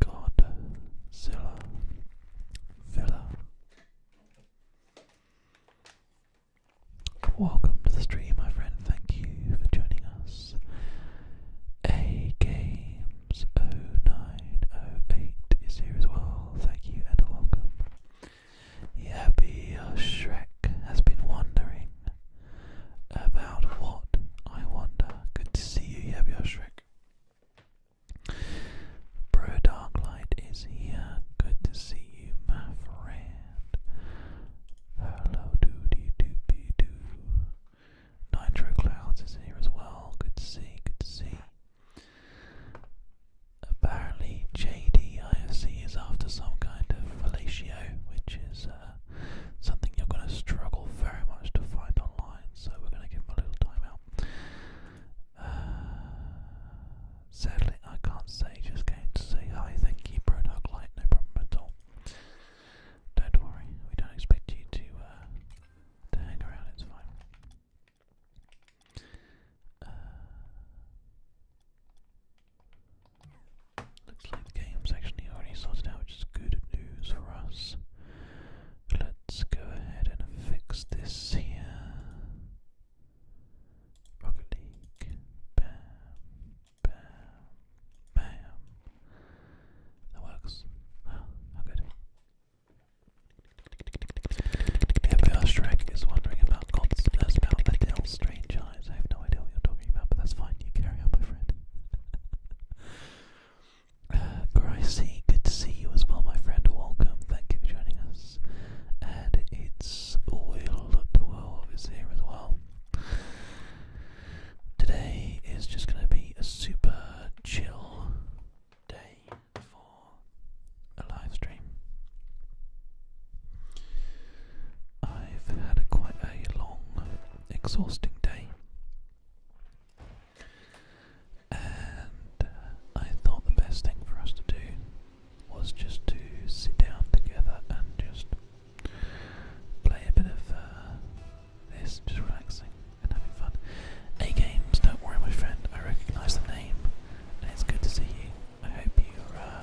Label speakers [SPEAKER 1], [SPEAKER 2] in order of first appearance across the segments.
[SPEAKER 1] Godzilla Villa. Welcome to the stream, my friend. Thank you for joining us. A Games 0908 is here as well. Thank you and welcome. Yappy Shrek has been wondering about what I wonder. Good to see you, Yappy Shrek. Bro Darklight is here. Good to see you, my friend. Hello, doody doopy doo. Nitro Clouds is here as well. Good to see, good to see. Apparently, JDIFC is after some kind of fellatio, which is uh, something you're going to struggle very much to find online, so we're going to give them a little time uh, sadly, I can't say, just came to say hi, thank you, Brodog Light, no problem at all. Don't worry, we don't expect you to, uh, to hang around, it's fine. Uh, looks like the game's actually already sorted out, which is good news for us. Let's go ahead and fix this here. Rocket League. Bam. Bam. Bam. That works. how good. Here we are, is wondering about gods as about Strange Eyes. I have no idea what you're talking about, but that's fine, you carry on, my friend. Gracie, good to see you as well, my friend. Welcome. Thank you for joining us. And it's Oil 12 is here as well. Today is just going to be a super chill day for a live stream. I've had quite a long, exhausting day. And uh, I thought the best thing for us to do was just to sit down together and just play a bit of uh, this, just relaxing and having fun. A games, don't worry, my friend. I recognise the name, and it's good to see you. I hope you're uh,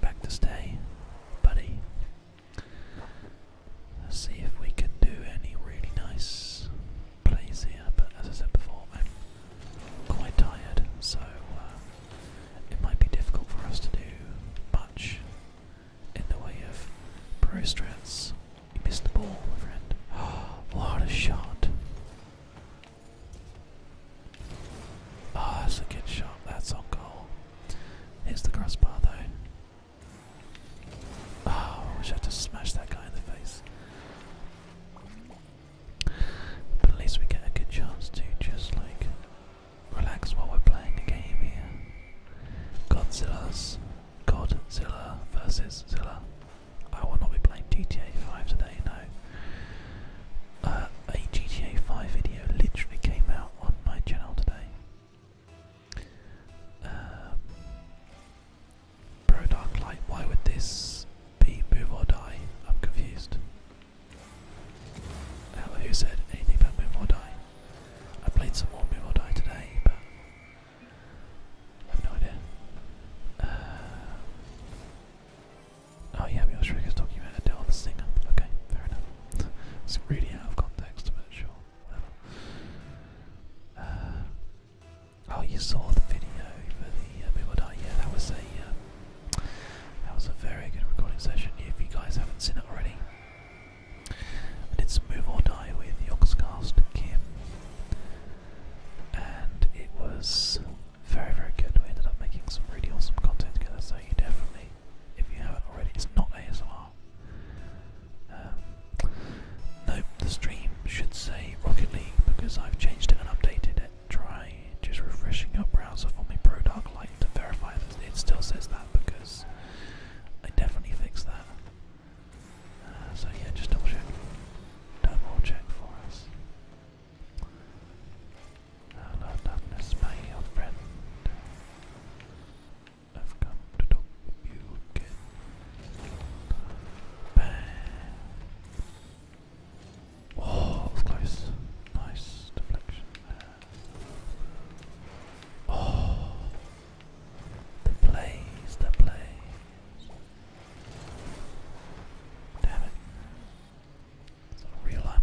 [SPEAKER 1] back to stay, buddy. Let's see if we can do any really nice plays here, but as I said before, I'm quite tired, so uh, it might be difficult for us to do much in the way of pro strats. You missed the ball, my friend. Oh, what a shot! Ah, oh, that's a good shot. That's on goal. Here's the crossbar, though. Oh, wish I had smash that guy in the face. But at least we get a good chance to just like relax while we're playing a game here. Godzilla's Godzilla versus Zilla. I will not be playing GTA 5 today, no. Uh, a GTA 5 video literally came out on my channel today. Um, Pro Dark Light, why would this be move or die? I'm confused. Now, who said anything about move or die? I played some more move or die today, but I have no idea. Uh, oh yeah, Mioshrik is talking about Adele the singer. Okay, fair enough. it's really out of context, but sure. Uh, oh, you saw the video for the uh, people die. Yeah, that was a uh, that was a very good recording session. If you guys haven't seen it already, I did some move or die with Yogscast Kim, and it was very very good. We ended up making some really awesome content together. So you definitely, if you haven't already, it's not ASMR. Um, nope, the stream should say Rocket League because I've changed it and updated it. Try just refreshing your browser for me, Pro Dark Light to verify that it still says that because I definitely fixed that. Uh, so yeah, just double check. Double check for us. Uh, love darkness, my old friend. I've come to talk with you again. Bam. Oh, close. Nice deflection Oh, the plays, the plays. Damn it. So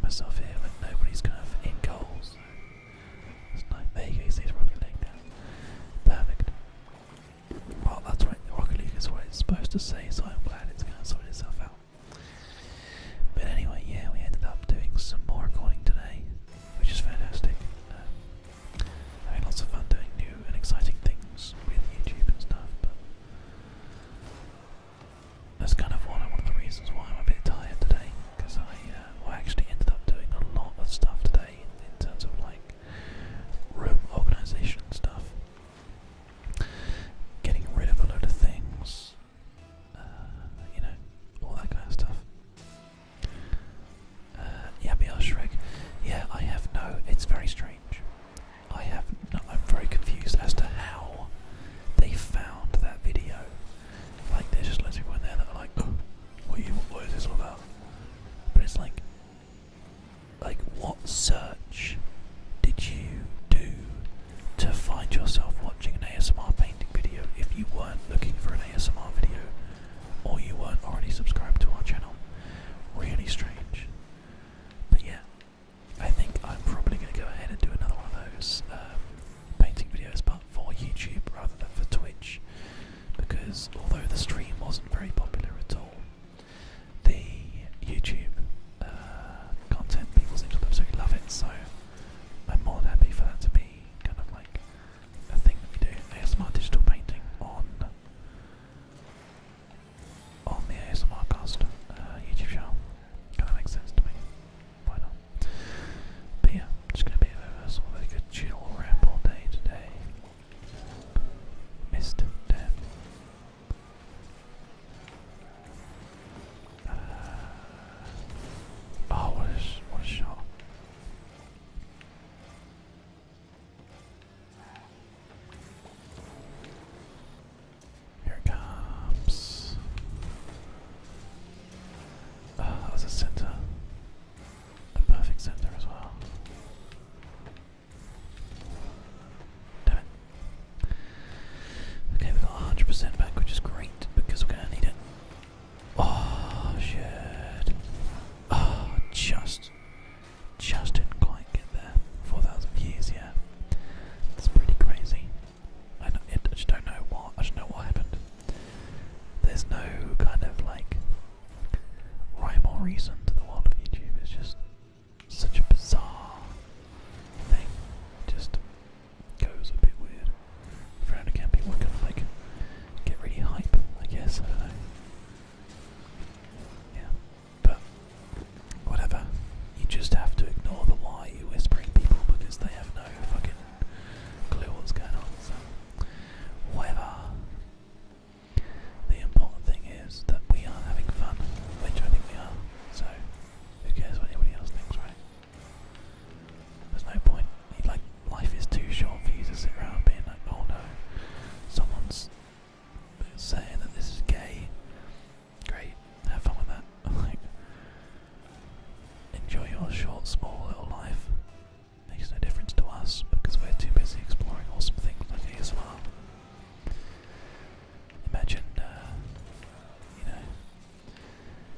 [SPEAKER 1] myself here when nobody's kind of in goals. Perfect. Well, that's right, Rocket League is supposed to say, so I'm glad it's going to sort itself out. But anyway, yeah, we ended up doing some more recording today, which is fantastic. Um, having lots of fun doing new and exciting things with YouTube and stuff, but that's kind of one of the reasons why I'm a bit tired today because I, uh, I actually ended up doing a lot of stuff today in terms of like room organization stuff, getting rid of a load of things, uh, you know, all that kind of stuff. Uh, yeah, me, Shrek. Yeah, I have no. It's very strange. I have. I'm very confused as to how they found that video. Like, there's just loads of people in there that are like, what is this all about? But it's like, like what search did you do to find yourself watching an ASMR painting video if you weren't looking for an ASMR video or you weren't already subscribed to our channel? Really strange. But yeah, I think I'm probably going to go ahead and do another one of those. Um, painting videos but for YouTube rather than for Twitch because although the stream wasn't very popular at all, the YouTube uh, content people seem to absolutely love it so I'm more than happy for that to be kind of like a thing that we do. ASMR digital painting on on the ASMR uh, YouTube channel. Kind of makes sense to me. Why not? But yeah, it's going to be a, a chill ramble day today. Missed them. Uh, oh, what shot. Here it comes. Ah, a center perfect center as well. Damn Okay, we've got 100% back, which is great because we're going to need it. Oh, shit. Oh, just. Just didn't quite get there. 4,000 views, yeah. It's pretty crazy. I, don't, it, I don't know what happened. There's no kind of like rhyme or reason to the world of YouTube. It's just such a bizarre thing. just goes a bit weird. For people kind of like get really hype. I guess Yeah, but whatever. You just have to ignore the why you whispering people because they have no fucking clue what's going on. Whatever. The important thing is that we are having fun, which I think we are, so who cares what anybody else thinks, right? There's no point. Like, life is too short for you to sit around being like, oh no, someone's saying that this is gay. Great, have fun with that. like, enjoy your short, small little life. Makes no difference to us because we're too busy exploring awesome things like ASMR. Imagine, uh, you know,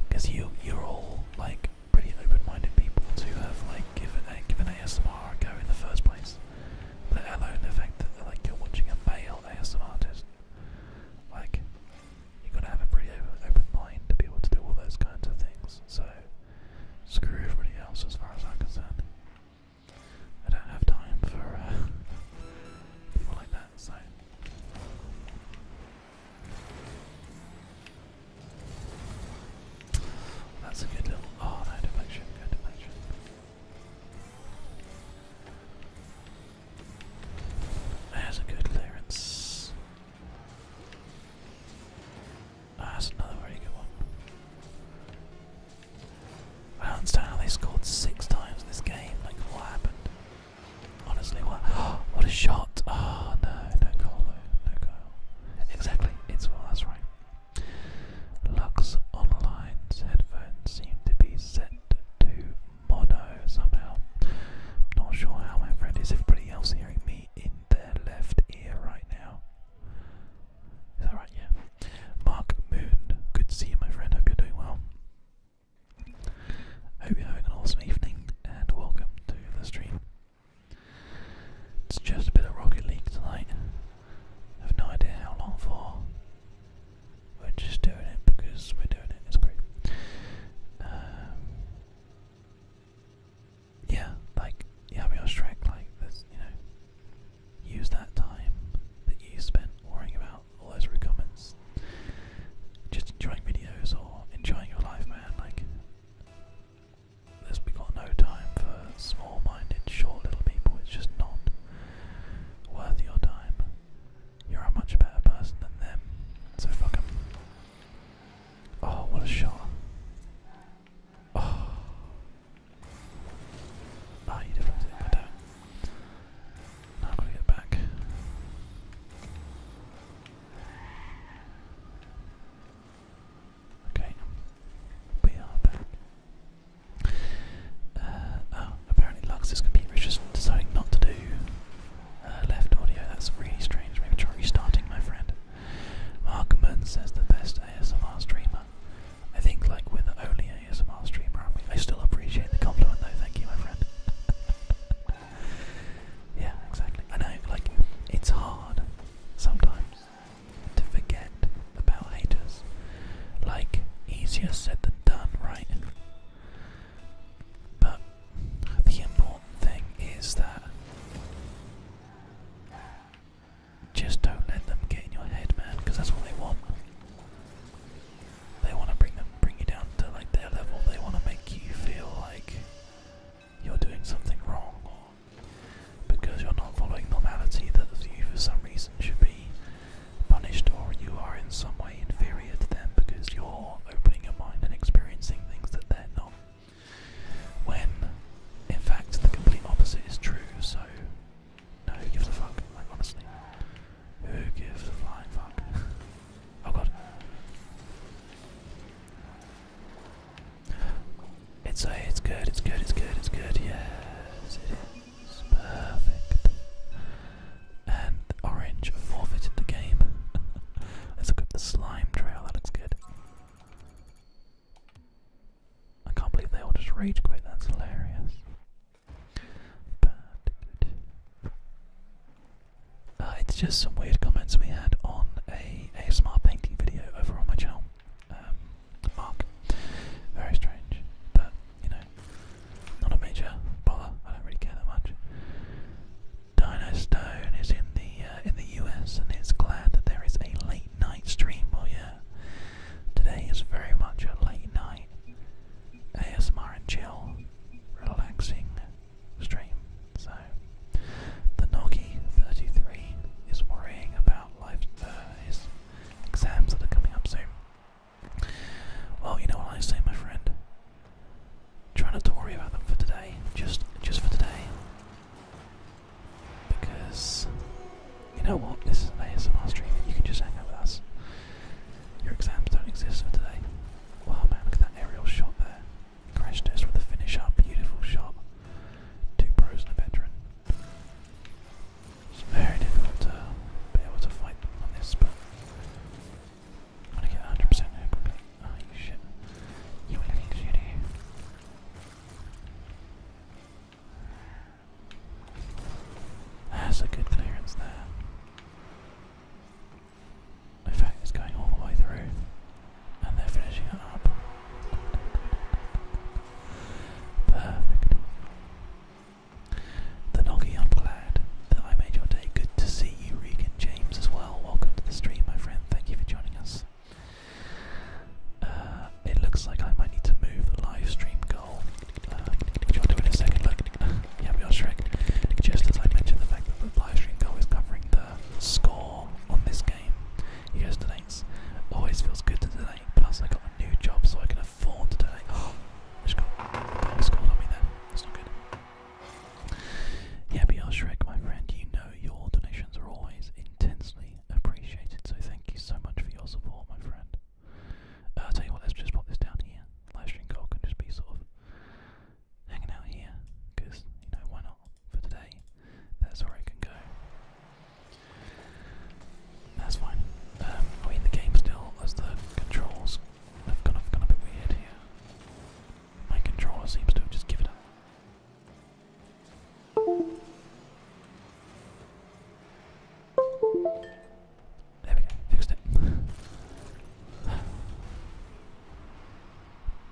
[SPEAKER 1] because you you're all like pretty open-minded people to have like given a given ASMR a in the first place. Let alone the fact that like you're watching a male ASMR artist. Like, you gotta have a pretty open mind to be able to do all those kinds of things. So screw everybody else as far as I'm concerned. I don't have time for uh, people like that, so. That's a good little. Oh, no, deflection, good deflection. There's a good clearance. Ah, that's another very good one. I don't understand how they scored six times in this game. Like, what happened? Honestly, what? what a shot! Ah, oh, no, no goal though, no goal. Exactly, it's well. That's right. Lux Online's headphones seem to be set to mono somehow. Not sure how my friend is. Everybody else hearing me in their left ear right now. Is that right? Yeah. Mark Moon, good to see you, my friend. Hope you're doing well. Hope you're having an awesome evening, and welcome to the stream. It's just a bit of Rocket League tonight. have no idea how long for. We're just doing it because we're doing it. It's great. Um, yeah, like you have your Shrek, like this, you know, use that time that you spent worrying about all those comments, just enjoying videos or enjoying your life, man. Like, there's we got no time for small-minded, short little people. It's just not worth your time. You're a much better person than them, so fuck them. Oh, what a shot. Oh. Oh, you deflected it, Now i get back. Okay. We are back. Uh, oh, apparently computer just deciding not to do uh, left audio. That's really strange. Maybe try restarting, my friend. Markman says the best ASMR streamer. I think like we're the only ASMR streamer, I still appreciate the compliment though, thank you my friend. yeah, exactly. I know, like, it's hard sometimes to forget about haters. Like, easier said than done, right? But the important important thing is that just don't let them get in your head, man, because that's what they want. They want to bring them, bring you down to like their level. They want to make you feel like you're doing something wrong, or because you're not following normality, that you for some reason should be punished, or you are in some way inferior to them because you're opening your mind and experiencing things that they're not. When, in fact, the complete opposite is true, so. No, who gives fuck? Like, honestly. Who gives a flying fuck? oh god. It's a, it's good, it's good, it's good, it's good, yes, it is perfect. And orange forfeited the game. Let's look up the slime trail, that looks good. I can't believe they all just rage quit, that's hilarious. But uh, it's just some weird comments we had on a ASMR painting video over on my channel. Um, Mark. Very strange, but you know, not a major bother. I don't really care that much. Dinostone is in the uh, in the US and is glad that there is a late night stream. Well, yeah, today is very much a late night ASMR and chill, relaxing stream. So the Nogi 33 is worrying about life, uh, exams that are coming up soon. Well, you know what I say, my friend. Try not to worry about them for today. Just, just for today. Because you know what? This is an ASMR stream and you can just hang out with us. Your exams don't exist for today. Wow man, look at that aerial shot there. Crash test with a finish beautiful shot. Two pros and veteran. It's very difficult to be able to fight on this, but I'm gonna get 100% here quickly. Oh, you shit. You little shitty. That's a good clearance there. In fact, it's going all the way through, and they're finishing it up. Perfect. The Noggy, I'm glad that I made your day. Good to see you, Regan James, as well. Welcome to the stream, my friend. Thank you for joining us. Uh, it looks like I might need to move the live stream goal, uh, which I'll do in a second. Look, uh, yeah, we are Shrek. Just as I mentioned, the fact that the live stream goal is covering the score on this game yesterday's always feels good to today. Plus, I got a new job, so I can afford to donate. Oh, just got scored on me That's not good. Yeah, BR Shrek, my friend, you know your donations are always intensely appreciated, so thank you so much for your support, my friend. Uh, I'll tell you what, let's just pop this down here. Livestream goal can just be sort of hanging out here, because, you know, why not? For today, that's where it can go. That's fine. Um, I mean, the game still, as the controls have gone, off, gone a bit weird here. My controller seems to have just given up. There we go, fixed it.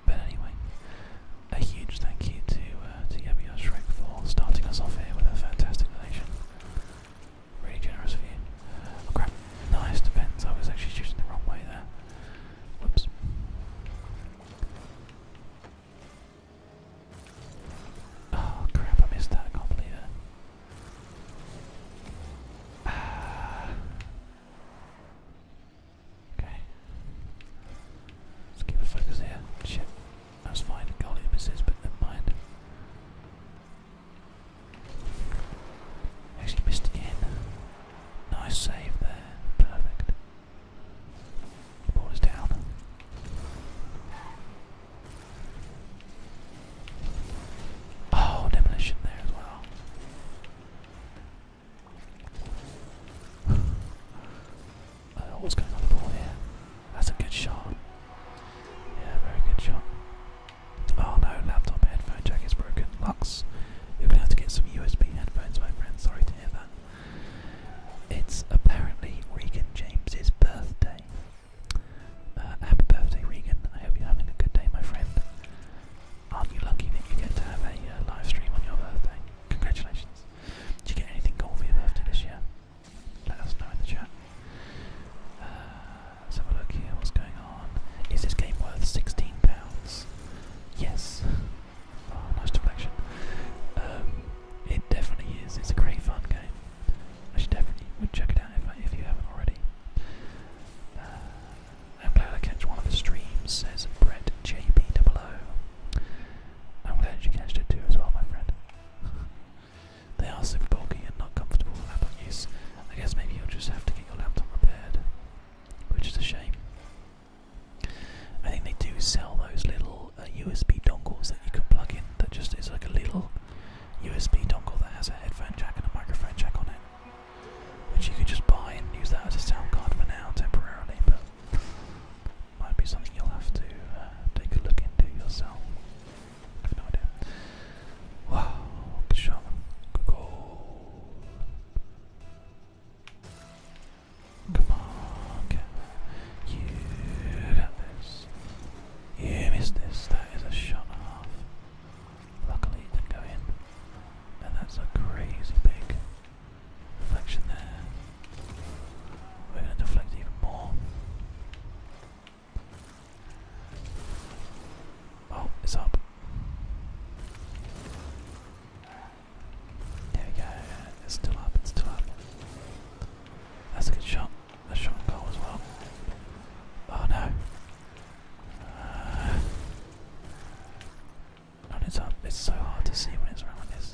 [SPEAKER 1] but anyway, a huge thank you to uh, to Yabio for starting us off here with a fantastic donation. Really generous of you. Oh crap, nice, depends. I was actually shooting the wrong way there. Whoops. Oh crap, I missed that, I can't believe it. Ah. Okay. Let's keep a focus here. Shit. That's fine, goalie misses, but never mind. Actually missed again. Nice save there. Perfect. Ball is down. Oh, demolition there as well. Uh, what's going on the here. That's a good shot. Yeah, very good shot. Oh no, laptop headphone jack is broken. Lux you're gonna to get some USB headphones, my friend. Sorry to hear that. It's apparently Regan James's birthday. Uh, happy birthday, Regan! I hope you're having a good day, my friend. Aren't you lucky that you get to have a uh, live stream on your birthday? Congratulations! Did you get anything cool for your birthday this year? Let us know in the chat. Uh, let's have a look here. What's going on? Is this game worth sixteen pounds? Yes. Oh, nice deflection. Um, it definitely is. It's a great fun game. I should definitely would check it out if, you haven't already. Uh, I'm glad I catch one of the streams, says Brett JB00. I'm glad you catched it too as well, my friend. they are super bulky and not comfortable for laptop use. I guess maybe you'll just have to get your laptop repaired, which is a shame. I think they do sell those little USB uh, dongles that you can plug in. That just is like a little USB dongle that has a headphone jack and a microphone jack on it, which you could just buy and use that as a sound card for now temporarily. But might be something you'll have to uh, take a look into yourself. I have no idea. Wow, good shot. Good Come on, Kevin. You got this. You missed this. That is a shot and Luckily it didn't go in. And that's a crazy big deflection there. We're going to deflect even more. Oh, it's up. There we go. It's still up. It's still up. That's a good shot. That's shot goal as well. Oh no. Uh, it's up. It's so hard to see when it's around this.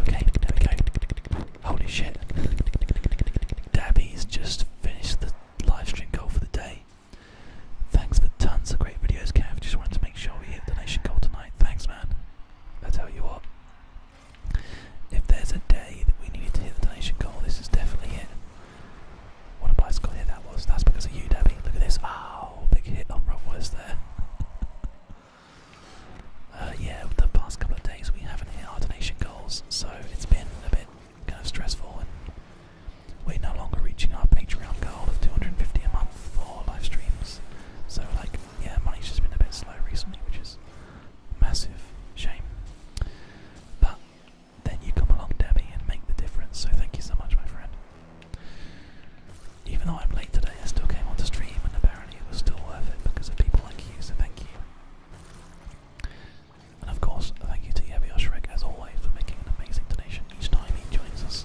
[SPEAKER 1] Okay, there we go. Holy shit. Dabby's just finished the live stream goal for the day. Thanks for tons of great videos, Cav. Just wanted to make sure we hit the donation goal tonight. Thanks, man. I tell you what, if there's a day that we needed to hit the donation goal, this is definitely it. What a bicycle hit that was. That's because of you, Debbie. Look at this. Oh, big hit on Rob West there. uh, yeah, the past couple of days we haven't hit our donation goals, so it's been a bit kind of stressful we're no longer reaching our Patreon goal of 250 a month for live streams. So, like, yeah, money's just been a bit slow recently, which is massive shame. But then you come along, Debbie, and make the difference. So, thank you so much, my friend. Even though I'm late today, I still came on to stream, and apparently it was still worth it because of people like you. So, thank you. And of course, thank you to Yabio Shrek as always for making an amazing donation each time he joins us.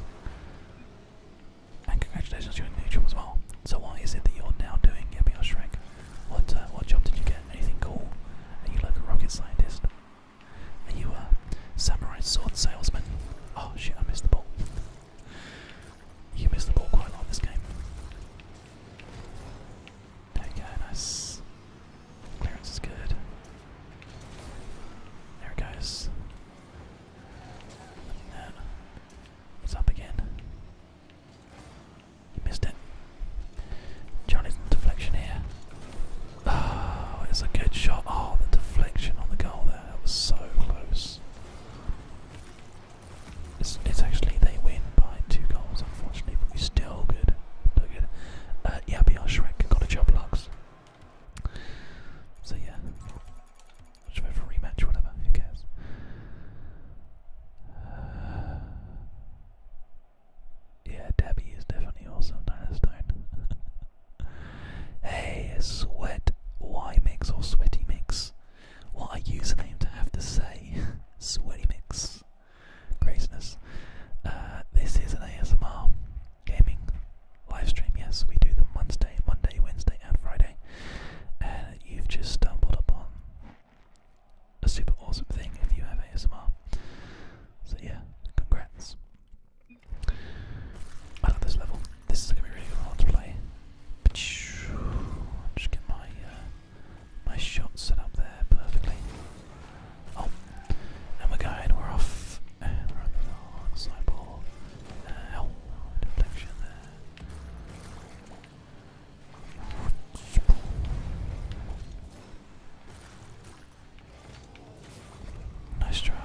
[SPEAKER 1] And congratulations to your new job as well. So what is it that you're now doing, Yabio Shrek? What uh, what job did you get? Anything cool? Are you like a rocket scientist? Are you a samurai sword salesman? Oh shit, I missed the ball. You missed the ball quite a lot in this game. There you go, nice. Clearance is good. There, guys. That. It's up again. You missed it. Johnny's deflection here. Oh, it's a good shot. Oh, the deflection on the goal there. That was so close. It's, actually, they win by two goals, unfortunately, but we're still good. Still good. Uh, yeah, beyond Shrek got a job, Lux. So yeah, just rematch whatever, who cares? yeah, Debbie is definitely also awesome, Dinostone. hey, sweat why mix or sweaty mix. What a username to have to say. sweaty mix. craziness. Uh, this is an ASMR gaming live stream. Yes, we do them Monday, Monday, Wednesday, and Friday. And you've just stumbled upon a super awesome thing if you have ASMR. So yeah, congrats. I love this level. This is gonna be really hard to play. Just get my uh, my shot set up there perfectly. Oh, and we're going, we're off, uh, oh, Nice try.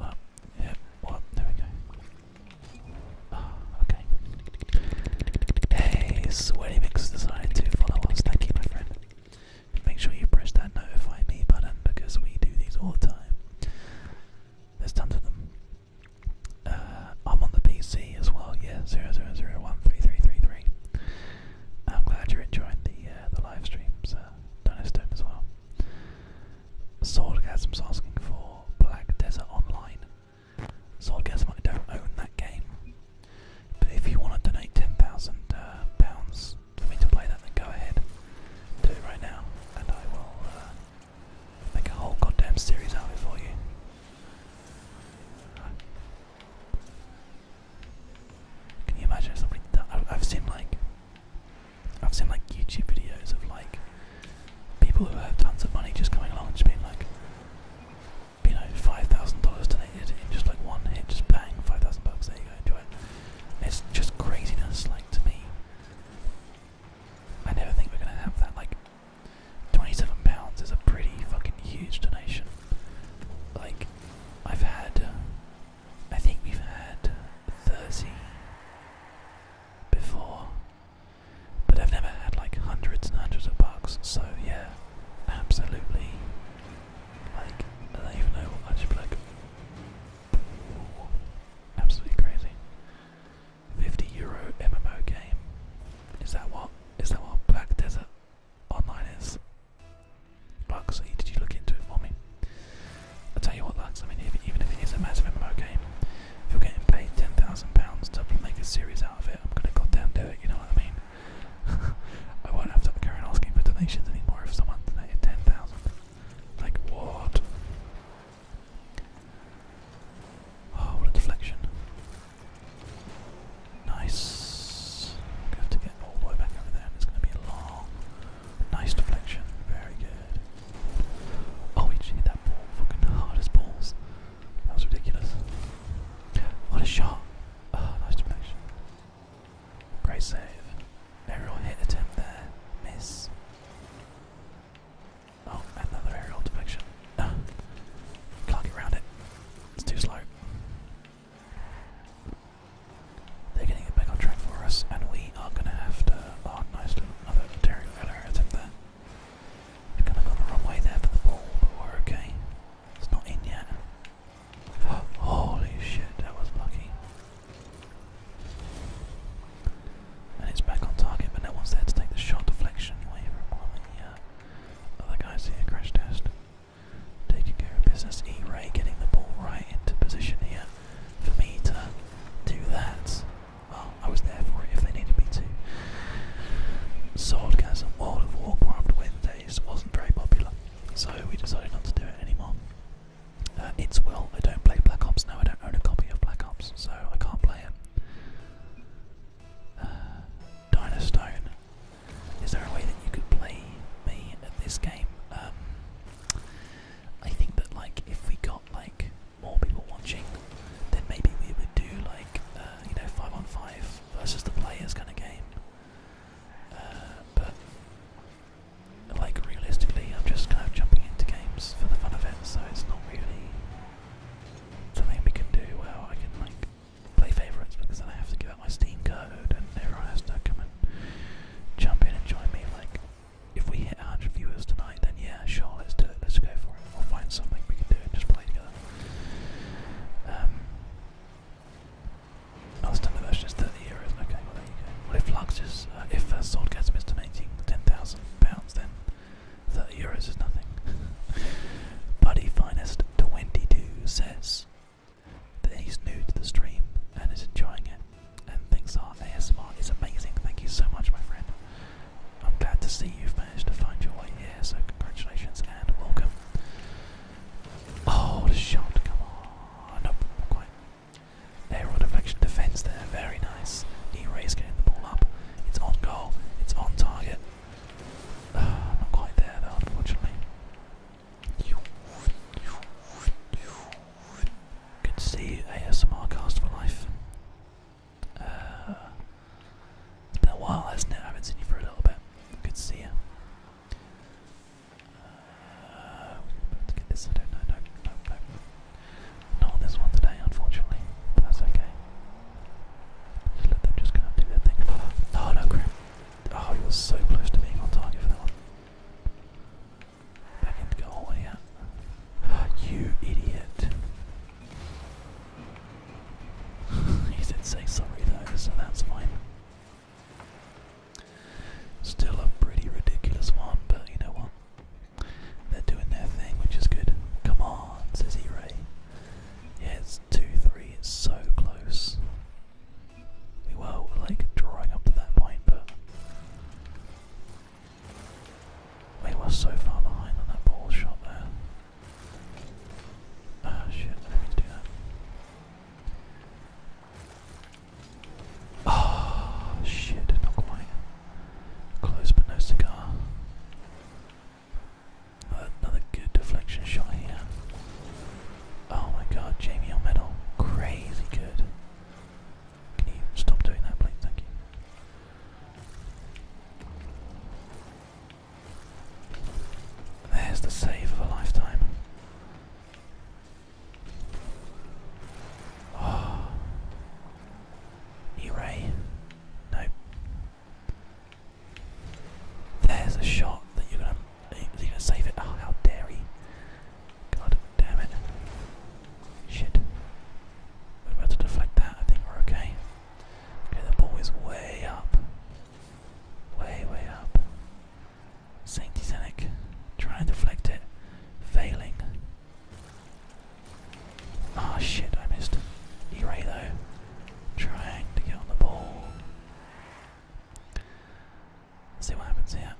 [SPEAKER 1] Oh, yep, what? There we go. Oh, okay. Hey, Sweaty Mix decided to follow us. Thank you, my friend. Make sure you press that notify me button because we do these all the time. There's tons of them. Uh, I'm on the PC as well, yeah, 000133333. I'm glad you're enjoying the uh, the live streams, uh, Donestone as well. Swordgasm's asking for Black Desert Online. Swordgasm, I don't own that game. But if you want to donate ten thousand uh, pounds for me to play that, then go ahead, do it right now, and I will uh, make a whole goddamn series out of it for you. Can you imagine somebody? I've seen like, I've seen like YouTube videos of like people who have tons of money just coming along and just being like, you know, five thousand dollars donated in just like one hit, just bang, five thousand bucks. There you go, enjoy It's just craziness, like to me. I never think we're gonna have that. Like, twenty-seven pounds is a pretty fucking huge donation. Like, I've had, I think we've had thirty before, but I've never had like hundreds and hundreds of bucks. So yeah, absolutely like, I don't even know what, i just like, absolutely crazy. 50 euro MMO game. Is that what, is that what Black Desert Online is? Lux, did you look into it for me? i tell you what Lux, I mean even if it is a massive MMO game, if you're getting paid £10,000 to make a series out of it, I'm gonna goddamn do it, you know what I mean? I won't have to carry on asking for donations anymore if someone donated 10,000. Like, what? Oh, what a deflection. Nice. have to get all the way back over there, it's going to be long, nice deflection. Very good. Oh, we hit that ball. Fucking hard balls. That was ridiculous. What a shot. Oh, nice deflection. Great save. Aerial hit attempt there. Miss. Oh, another aerial deflection. Uh, can't it. It's too slow. They're getting it back on track for us, and we are going to have to. Oh, nice. Another aerial attempt there. I kind of got the wrong way there for the ball, but we're okay. It's not in yet. Holy shit, that was lucky. And it's back on target, but no one's there to take the shot deflection away from one the other guys here. Crash test. Taking care of business. E Ray getting the ball right into position here for me to do that. Well, I was there for it if they needed me to. Swordgasm, World of Warcraft wins days wasn't very popular, so we decided not to do it anymore. Uh, it's well, I don't play Black Ops now, I don't own a copy of Black Ops, so I can't play it. Uh, Is there a way that you could play me at this game? Um, I think that like if we got like more people watching, then maybe we would do like uh, you know five on five versus the players kind of game. Uh, but like realistically, I'm just kind of jumping into games for the fun of it, so it's not really something we can do where I can like play favourites because then I have to give out my Steam code and everyone has to come and jump in and join me. Like, if we hit 100 viewers tonight, then yeah, sure, let's do it, let's go for it. We'll find something we can do and just play together. Um, Last time standard version is 30 euros. Okay, well, there you go. if Lux is, uh, if uh, Sword gets missed an 18, 10,000 pounds, then 30 euros is nothing. Buddy Finest to 22 says that he's new to the stream and is enjoying it and things thinks our ASMR is amazing. Thank you so much, my friend. I'm glad to see you've managed to find your way here, so congratulations and welcome. Oh, what shot, come on. not quite. Aerial deflection defense there, very nice. Knee raise getting the ball up. It's on goal, it's on target. Ah, not quite there unfortunately. Good to see ASMR cast for life. Uh, it's been a while, hasn't it? I haven't seen you for a little bit. Good to see you. Uh, we have to get this. I don't know. Not on this one today, unfortunately. But that's okay. Just let just kind of do their thing. Oh no, crap! Oh, you were so close to being on target for that one. Back into goal, yeah. You idiot! he did say sorry though, so that's fine. Still a pretty ridiculous one, but you know what? They're doing their thing, which is good. Come on, says E-Ray. Yeah, 2-3, it's so close. We were, like, drawing up to that point, but... We were so far behind on that ball shot there oh, shit, I did do that. Oh shit, not quite. Close but no cigar. Uh, another good deflection shot here. Oh my god, Jamie on Crazy good. Can you stop doing that, please? Thank you. There's the save of a lifetime. Oh. Ah. New ray. Nope. There's a shot that you're gonna you're gonna save it. Oh how dare he. God damn it. Shit. We're about to deflect that, I think we're okay. Okay, the ball is way up. Way, way up. Saint Senec trying to deflect it, failing. oh, shit, I missed. E-Ray though, trying to get on the ball. see what happens here.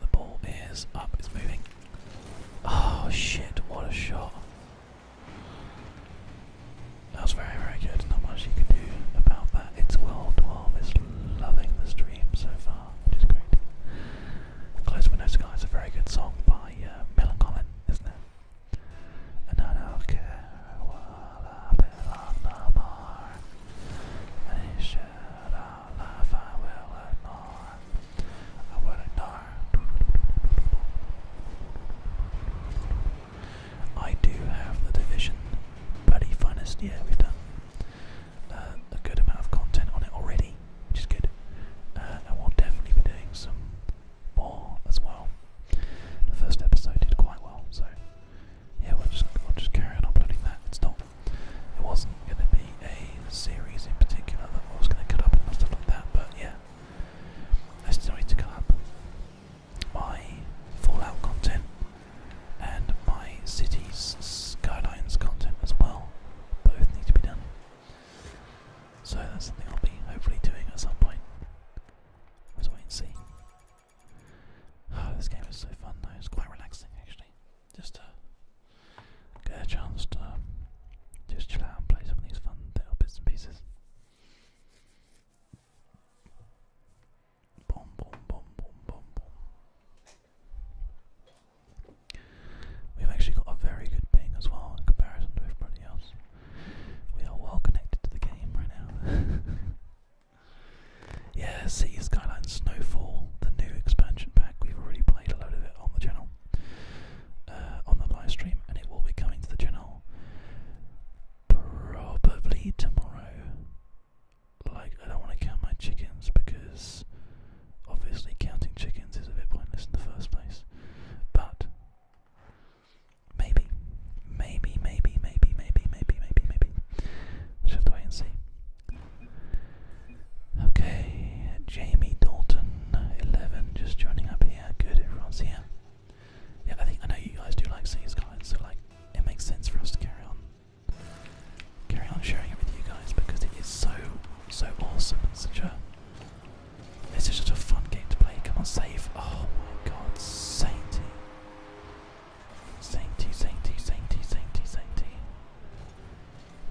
[SPEAKER 1] The ball is up, it's moving. Oh shit, what a shot. That was very, very good. Not much you can do about that. It's World War is loving the stream so far, which is great. Close Window Sky is a very good song by uh, Mill isn't it? And I don't care what happens on the bar. Any shit I love, I will ignore. I will ignore. I do have the division bloody finest. Yeah, we've done uh, a good amount of content on it already, which is good. Uh, and we'll definitely be doing some more as well. The first episode did quite well, so yeah, we'll just we'll just carry on uploading that. It's not. It wasn't going to be a series in particular that I was going to cut up and stuff like that, but yeah, I still need to cut up my Fallout content and my Cities skylines content as well. Both need to be done. So that's something I'll be hopefully doing at some point. Let's wait and see. Ah, this game is so fun though. It's quite relaxing actually. Just to uh, get a chance to just chill out and play some of these fun little bits and pieces. We've actually got a very good ping as well in comparison to everybody else. We are well connected to the game right now. yeah, City Skyline Snowfall, the new expansion pack. We've already played a load of it on the channel, uh, on the live stream, and it will be coming to the channel probably tomorrow. Like, I don't want to count my chickens because obviously counting chickens is a bit pointless in the first place. But maybe, maybe, maybe, maybe, maybe, maybe, maybe, maybe. We'll just have to wait and see. Okay, Jamie Dalton, 11, just joining up here. Good, everyone's here. Yeah, I think I know you guys do like seeing Skyline, so like it makes sense for us to carry on, carry on sharing it with you guys because it is so, so awesome. And such a, it's just such a fun game to play. Come on, save! Oh my God, sainty, sainty, sainty, sainty, sainty, sainty.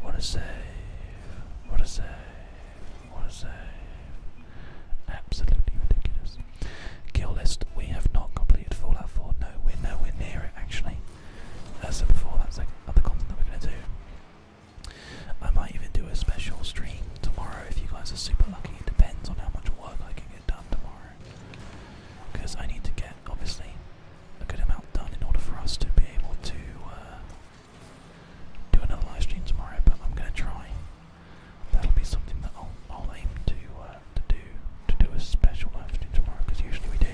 [SPEAKER 1] What a save! What a save! What a save! Absolutely ridiculous. Kill list, we have not completed Fallout 4. No, we're nowhere near it actually. As I said before, that's like other content that we're going to do. I might even do a special stream tomorrow if you guys are super lucky. It depends on how much work I can get done tomorrow. Because I need to get, obviously, a good amount done in order for us to be able to uh, do another live stream tomorrow, but I'm going to try that'll be something that I'll, aim to uh, to do to do a special live tomorrow because usually we do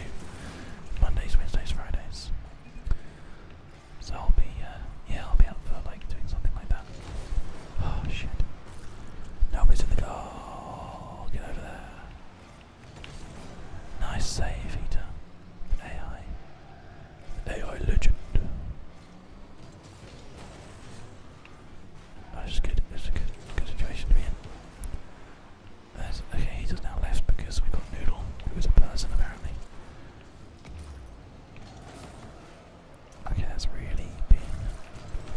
[SPEAKER 1] Mondays, Wednesdays, Fridays. So I'll be uh, yeah I'll be up for like doing something like that. Oh shit! Nobody's in the car. Get over there. Nice save, Eater. AI. AI legend. Oh, that's no, good. It's a good, situation to be in. There's, okay, he's now left because we got Noodle, who is a person apparently. Okay, that's really been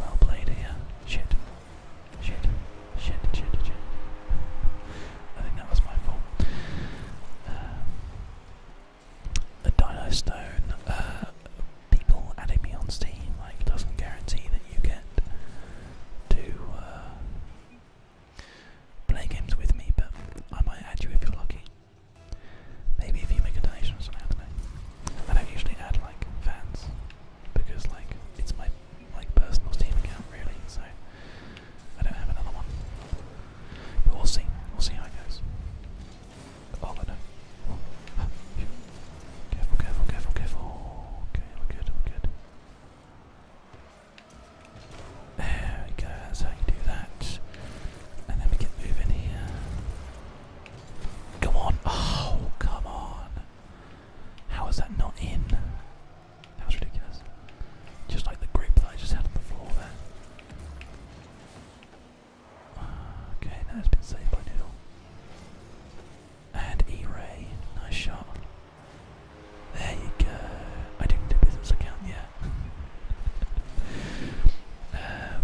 [SPEAKER 1] well played here. Shit. Shit. Shit, shit, shit. I think that was my fault. Um, dino stone, uh, people adding me on Steam like doesn't guarantee that you get to uh, play games with me, but I might add you if you're lucky. Maybe if you make a donation or something, I do I don't usually add like fans because like it's my like personal Steam account really, so I don't have another one. But we'll see. We'll see how it goes. Oh, no. Ah, careful, careful, careful, careful. Okay, we There we go, that's how you do that. And then we get moving here. Come on. Oh, come on. How is that not in? That ridiculous. Just like the grip that I just had on the floor there. Okay, that has been saved by Noodle. And E-Ray, nice shot. There you go. I didn't do business account yet. Um,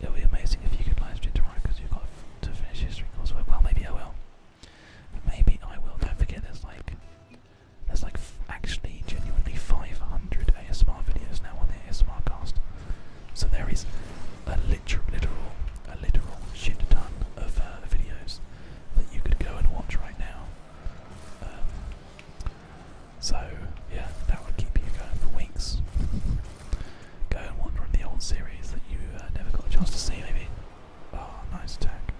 [SPEAKER 1] it will be amazing if you could live stream tomorrow because you've got to finish history coursework. Well, maybe I will. Maybe I will. Don't forget, there's like, there's like actually genuinely 500 ASMR videos now on the ASMR cast. So there is a literal, a literal shit ton of uh, videos that you could go and watch right now. Um, so yeah, that would keep you going for weeks. Go and wander in the old series that you uh, never got a chance to see, maybe. Oh, nice attack.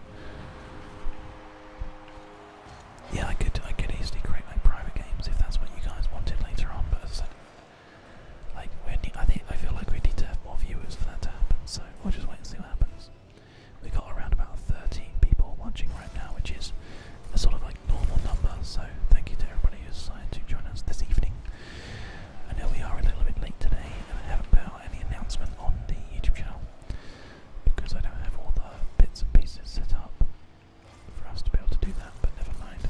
[SPEAKER 1] Yeah, I could, I could easily create my private games if that's what you guys wanted later on. But as I said, like we need, I think I feel like we need to have more viewers for that to happen. So we'll just wait and see what happens. We have got around about 30 people watching right now, which is a sort of like normal number. So thank you to everybody who's signed to join us this evening. I know we are a little bit late today, and I haven't put out any announcement on the YouTube channel because I don't have all the bits and pieces set up for us to be able to do that, but never mind.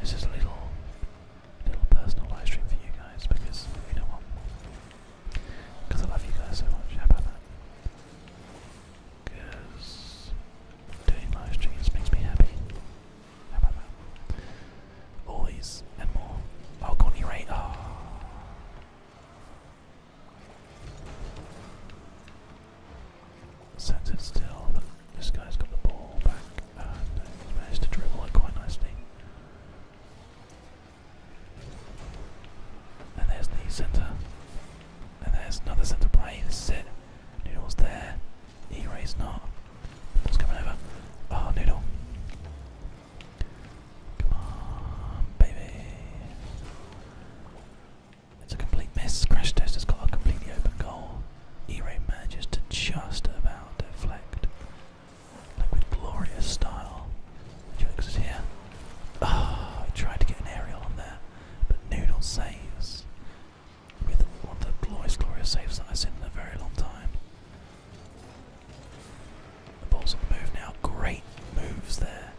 [SPEAKER 1] This is a little, little personal live for you guys because you know what? Because I love you guys so much. How about that? Because doing live makes me happy. How about that? All and more. Oh, Connie Ray. Oh. Sends it still, but this guy's got the ball back and he's managed to dribble it quite nicely. And there's the centre. And there's another centre play. This is Noodle's there. E-Ray's not. Ball's coming over. Oh, Noodle. Come on, baby. It's a complete miss. Crash Test has got a completely open goal. E-Ray manages to just about deflect. Like with glorious style. Jokes is here. Ah, I tried to get an aerial on there, but Noodle saves. With one of the glorious, glorious saves that I've seen in a very long time. The ball's on the move now. Great moves there.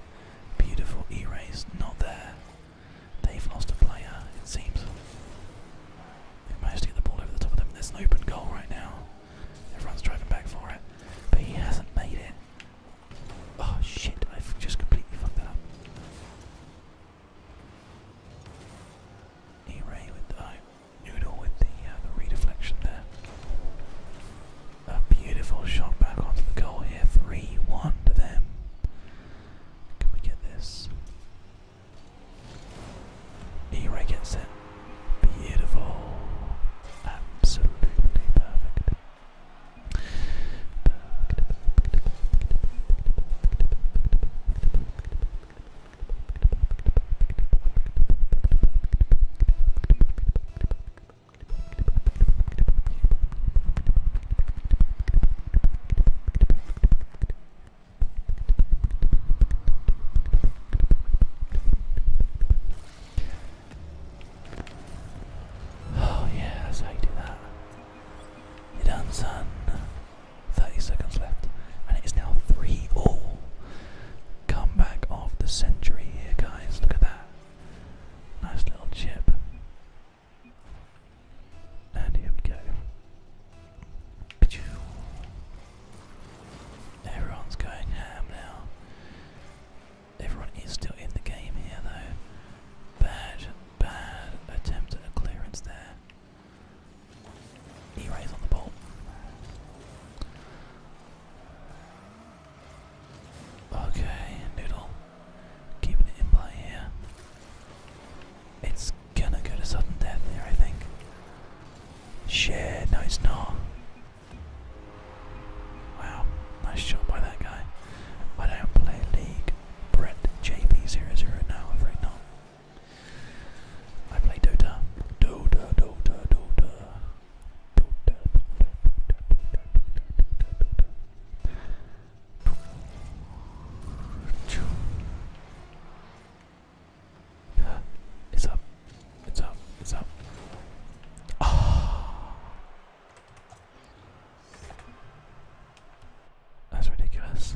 [SPEAKER 1] Beautiful e-rays. Not there. They've lost a player, it seems. They've managed to get the ball over the top of them. There's an open goal right now. Everyone's driving back for it. But he hasn't made it. Oh shit, I've just completely fucked that up. E-ray with the oh, noodle with the, uh, the redeflection there. A beautiful shot back onto the goal here. 3 1 to them. Can we get this? e Beautiful. Absolutely perfect, Oh, yeah, that's do that. you done, son. 30 seconds left, and it is now 3 all. Come back of the century here, guys. Look at that. Nice little chip. And here we go. Everyone's going ham now. Everyone is still in the game here though. Bad, bad attempt at clearance there. E-rays on the ball. Okay, Noodle. Keeping it in play here. It's gonna go to sudden death there, I think. Shit, no, it's not. Wow, nice shot by that guy. I don't play League. Brett JP00, now, I'm afraid not. I play Dota. Dota, Dota, Dota. It's up. It's up. It's up. Oh. That's ridiculous.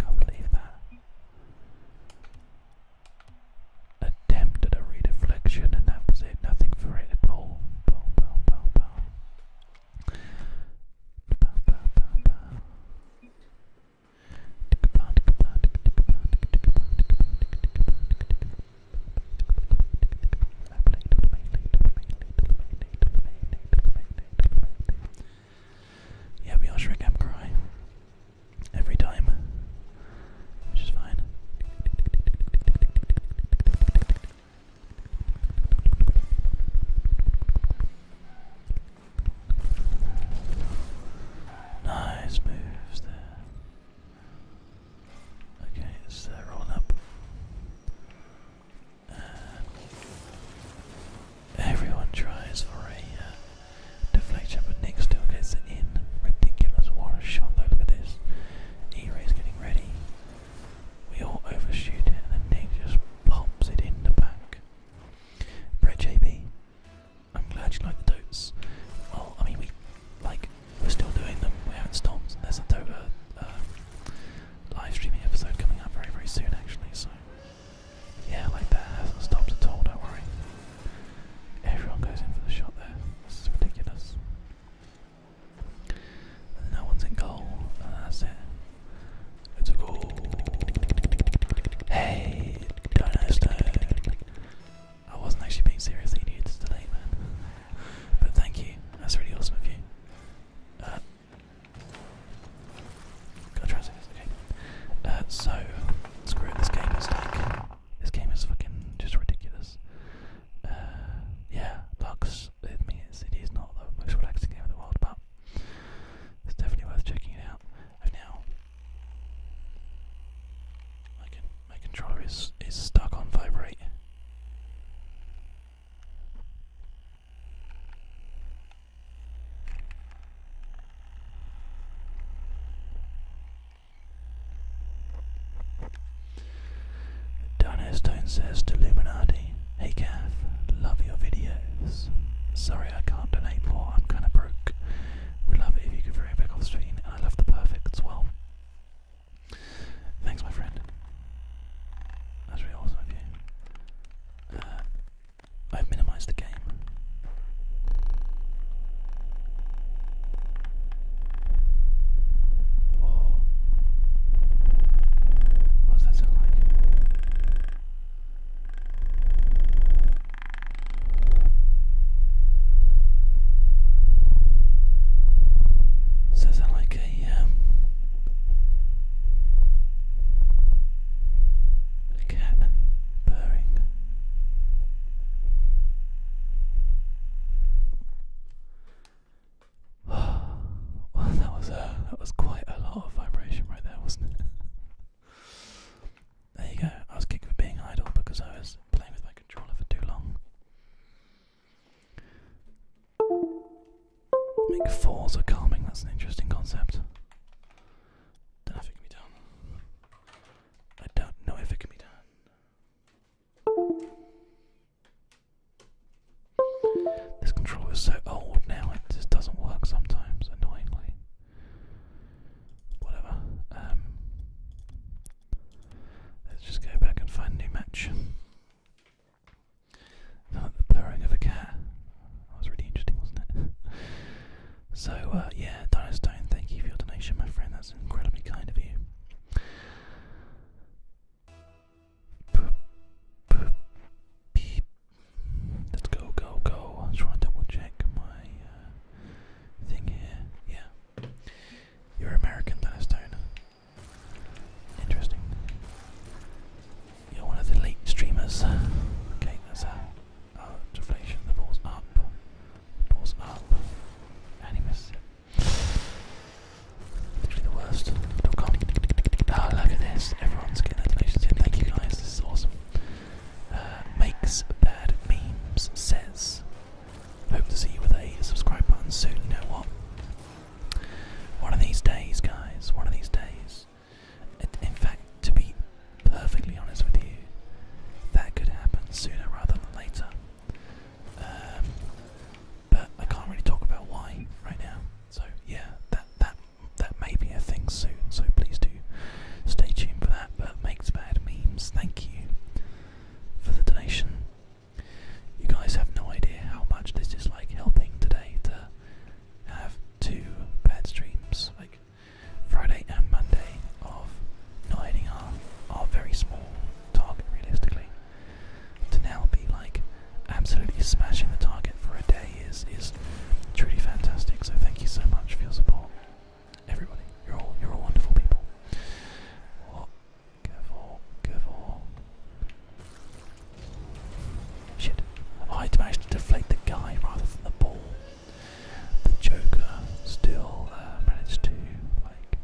[SPEAKER 1] Can't believe that attempt at a re-deflection and that was it, nothing for it Yeah, we are Shrek Am Cry. Every time which fine. Nice moves there. Okay, it's so rolling up. Uh, everyone tries for a uh, deflection, but Nick still gets it in. Ridiculous. What a shot, Look at this e is getting ready. We all overshoot it and then Nick just pops it in the back. Brett JB, I'm glad you like the totes. Well, I mean, we like we're still doing them. We haven't stopped. There's a tote uh, live streaming episode coming up very very soon actually. So yeah, like that hasn't stopped at all. Don't worry. Everyone goes in for the shot there. This is ridiculous. No one's in goal. And uh, that's it. It's a goal. Hey, Dino Stone. I wasn't actually being seriously dudes today, man. But thank you. That's really awesome of you. Uh, Gotta try and say this, okay. Uh, so, screw it, this game is like this game is fucking just ridiculous. Uh, yeah, Lux, it means it is not the most relaxing game in the world, but it's definitely worth checking it out. I've now, my, my controller is, is stuck on vibrate. Dino Stone says to Illuminati, Hey calf, love your videos. Sorry I can't donate more, I'm kinda broke. Would love it if you could throw back off I love the perfect as well. Thanks my friend. That's really awesome of you. Uh, I've minimized the game. Oh. What does that sound like? Does like um, a cat purring? that was uh, that was quite a lot of vibration right there, wasn't it? there you go. I was kicked for being idle because I was playing with my controller for too long. Make fours are calming. That's an interesting concept. do it can be done. I don't know if it can be done. This controller is so old now, it just doesn't work sometimes, annoyingly. Whatever. Um, let's just go back and find a new match. the purring of a cat. That was really interesting, wasn't it? so, uh, yeah, Dinostone, thank you for your donation, my friend. That's incredibly kind of you. Let's go, go, go. I'm to double check my uh, thing here. Yeah. You're American, Dennis Stone. Interesting. You're one of the late streamers. Okay, that's a deflation. The ball's up. The ball's up. And Literally the worst.com. Ah, look at this. Everyone's getting their Thank you guys. This is awesome. Uh, makes bad memes says. Hope to see you with a subscribe button soon. You know what? One of these days, guys. One of these days. In fact, to be perfectly honest with you, that could happen sooner rather than later. Um, but I can't really talk about why right now. So yeah, that that that may be a thing soon. So please do stay tuned for that. But makes bad memes. Thank you for the donation. You guys have no idea how much this is like helping today to have two bad streams, like Friday and Monday, of not hitting our, our very small target realistically. To now be like absolutely smashing the target for a day is is truly fantastic. So thank you so much for your support, everybody. You're all you're all wonderful people. Careful, careful. Shit! Oh, I managed to deflate the guy rather than the ball. The Joker still uh, managed to like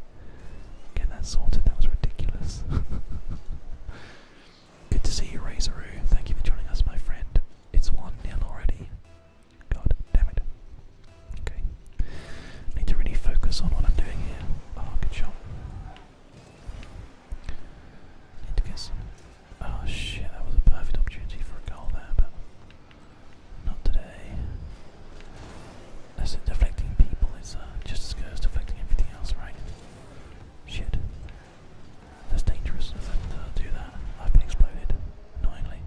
[SPEAKER 1] Get that sorted, that was ridiculous. Good to see you, Razoroo. Thank you for joining us, my friend. It's 1 nil already. God damn it. Okay. need to really focus on what I'm doing here. Oh, good shot. Need to get some. Oh shit, that was a perfect opportunity for a goal there, but not today. That's it, deflecting people It's uh, just as good deflecting everything else, right? Shit. That's dangerous if I uh, do that. I've been exploded, annoyingly.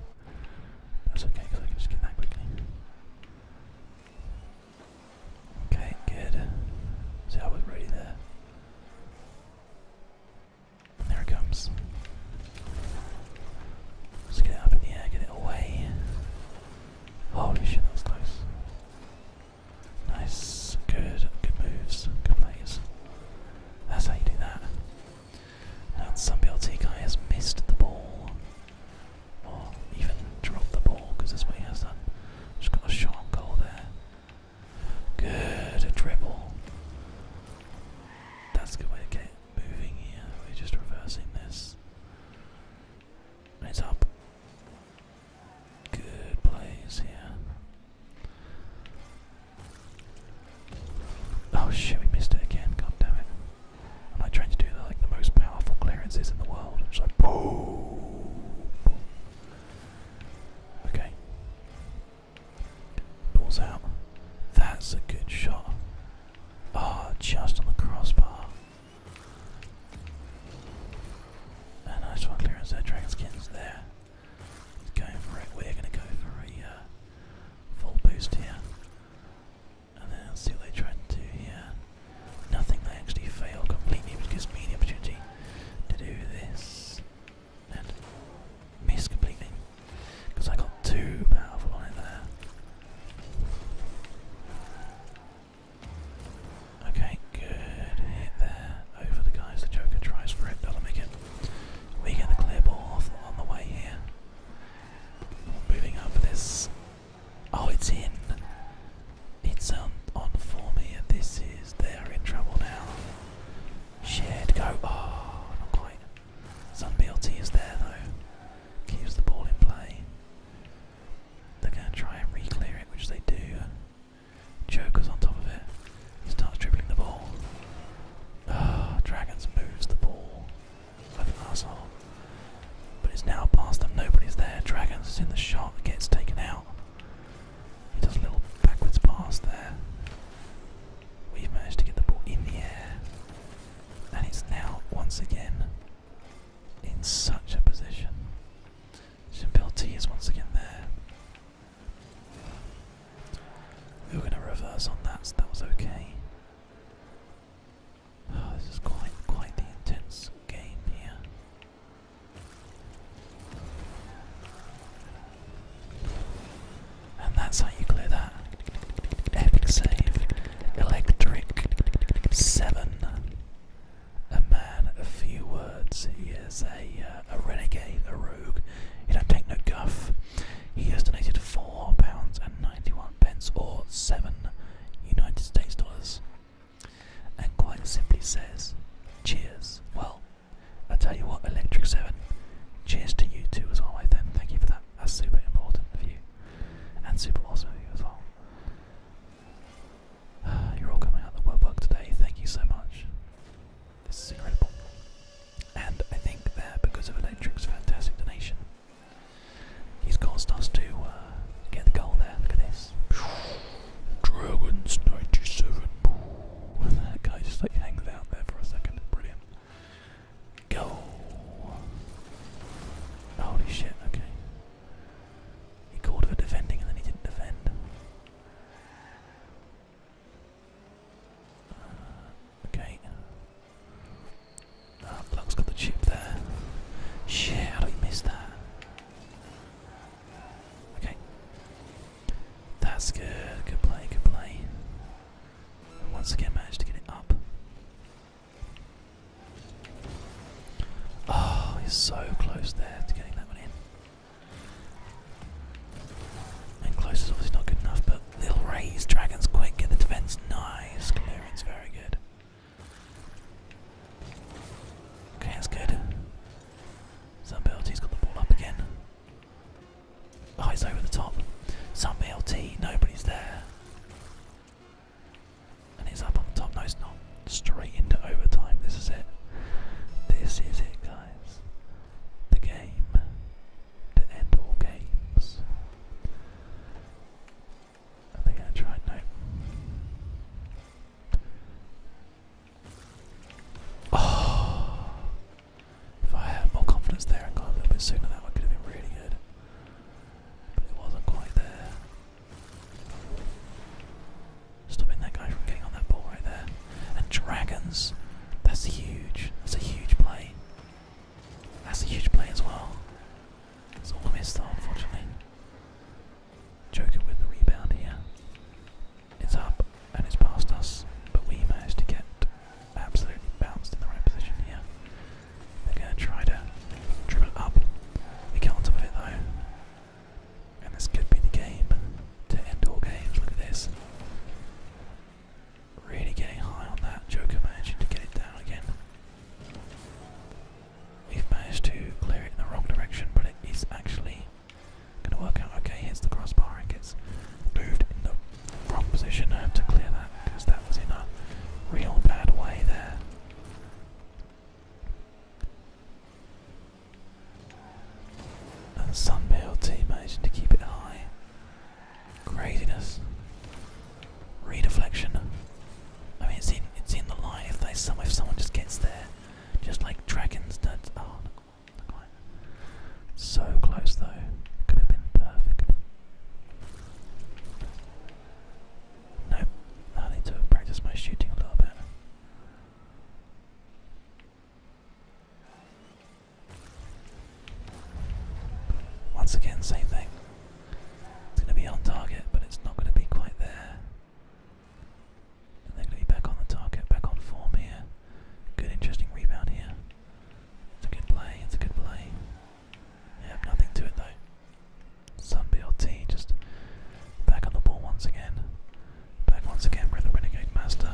[SPEAKER 1] That's okay because I can just get that quickly. Okay, good. See, I was ready there. there it comes. Let's get it up in the air, get it away. Holy shit, that was close. Nice, good, good moves, good plays. That's how you do that. And some BLT guy has missed the ball, or even dropped the ball, because this what he has done. Just got a shot on goal there. Good, a dribble. That's a good way to get moving here. We're just reversing this. Nice up. Good plays here. Oh shit, we missed it again. God damn it. I'm like trying to do the, like the most powerful clearances in the world. It's like boom. Okay. Ball's out. That's a good shot. Ah, just on the crossbar. A nice one clearance there, dragon skins there. Going for it, we're gonna go for a uh, full boost here. And then let's see what they tried to do here. Nothing, they actually fail completely, because gives opportunity to do this. And miss completely. Because I got too powerful on it there. Okay, good hit there over the guys. The Joker tries for it, doesn't make it. We get the clear ball on the way here. Moving up this. Oh, it's in. It's um, on on me. And This is. They're in trouble now. Shed go. Oh, not quite. Sun BLT is there though. Keeps the ball in play. They're going to try and re-clear it, which they do. Joker's on top of it. He starts dribbling the ball. Ah, Dragons moves the ball Left an asshole. But it's now past them. Nobody's there. Dragons is in the shot. Gets taken out. He does a little backwards pass there. We've managed to get the ball in the air. And it's now once again in such a position. Champil is once again there. We were going to reverse on that, so that was okay. Oh, this is quite, quite the intense game here. And that's how you clear that. Epic save. Electric. Seven. A man of few words. He is a uh, a renegade, a rogue. He don't take no guff. He has donated four pounds and ninety-one pence, or seven United States dollars, and quite simply says, "Cheers." Well, I tell you what, Electric Seven. Cheers to you too as well, I think. thank you for that. That's super important for you, and super awesome of you as well. You're all coming out of the woodwork today. Thank you so much. This is incredible. And I think that because of Electric's fantastic donation, he's caused us to uh, get the goal there. Look at this. Dragons 97. that guy just like hangs out there for a second. Brilliant. Go! Holy shit, okay. He called for defending and then he didn't defend. Uh, okay. Ah, has got the chip there. Shit, how do we miss that? Okay. That's good. Good play, good play. once again managed to get it up. Oh, he's so close there to getting that one in. And close is obviously not good enough, but little raise dragons quick, get the defense. Nice clearance, very good. Okay, that's good. Some BLT's got the ball up again. Oh, over the top. Some BLT, nobody's there. And it's up on the top. No, it's not. Straight into overtime. This is it. This is it, guys. The game. To end all games. Are they going to try? No. Oh! If I had more confidence there and got a little bit sooner, that one could have been really good. Stopping that guy from getting on that ball right there. And Dragons, that's a huge. That's a huge play. That's a huge play as well. It's all missed unfortunately. Joker with the rebound here. It's up and it's past us, but we managed to get absolutely bounced in the right position here. They're gonna try to dribble it up. We get on top of it though. And this could be the game to end all games. Look at this. Really getting high on that. Joker managing to get it down again. We've managed to clear it in the wrong direction, but it is actually gonna work out okay. here's the crossbar and gets moved in the wrong position I have to clear that because that was in a real bad way there. And Sunbill T managing to keep it high. Craziness. Redeflection. I mean, it's in it's in the line if they some if someone just gets there, just like dragons. That ah, oh, So close though. Could have been perfect. Nope, I need to practice my shooting a little bit. Once again, same thing. It's going to be on target, but it's not going to be quite there. they're going to be back on the target, back on form here. Good, interesting rebound here. It's a good play, it's a good play. Yeah, nothing to it though. Sun just back on the ball once again. Back once again with the Renegade Master.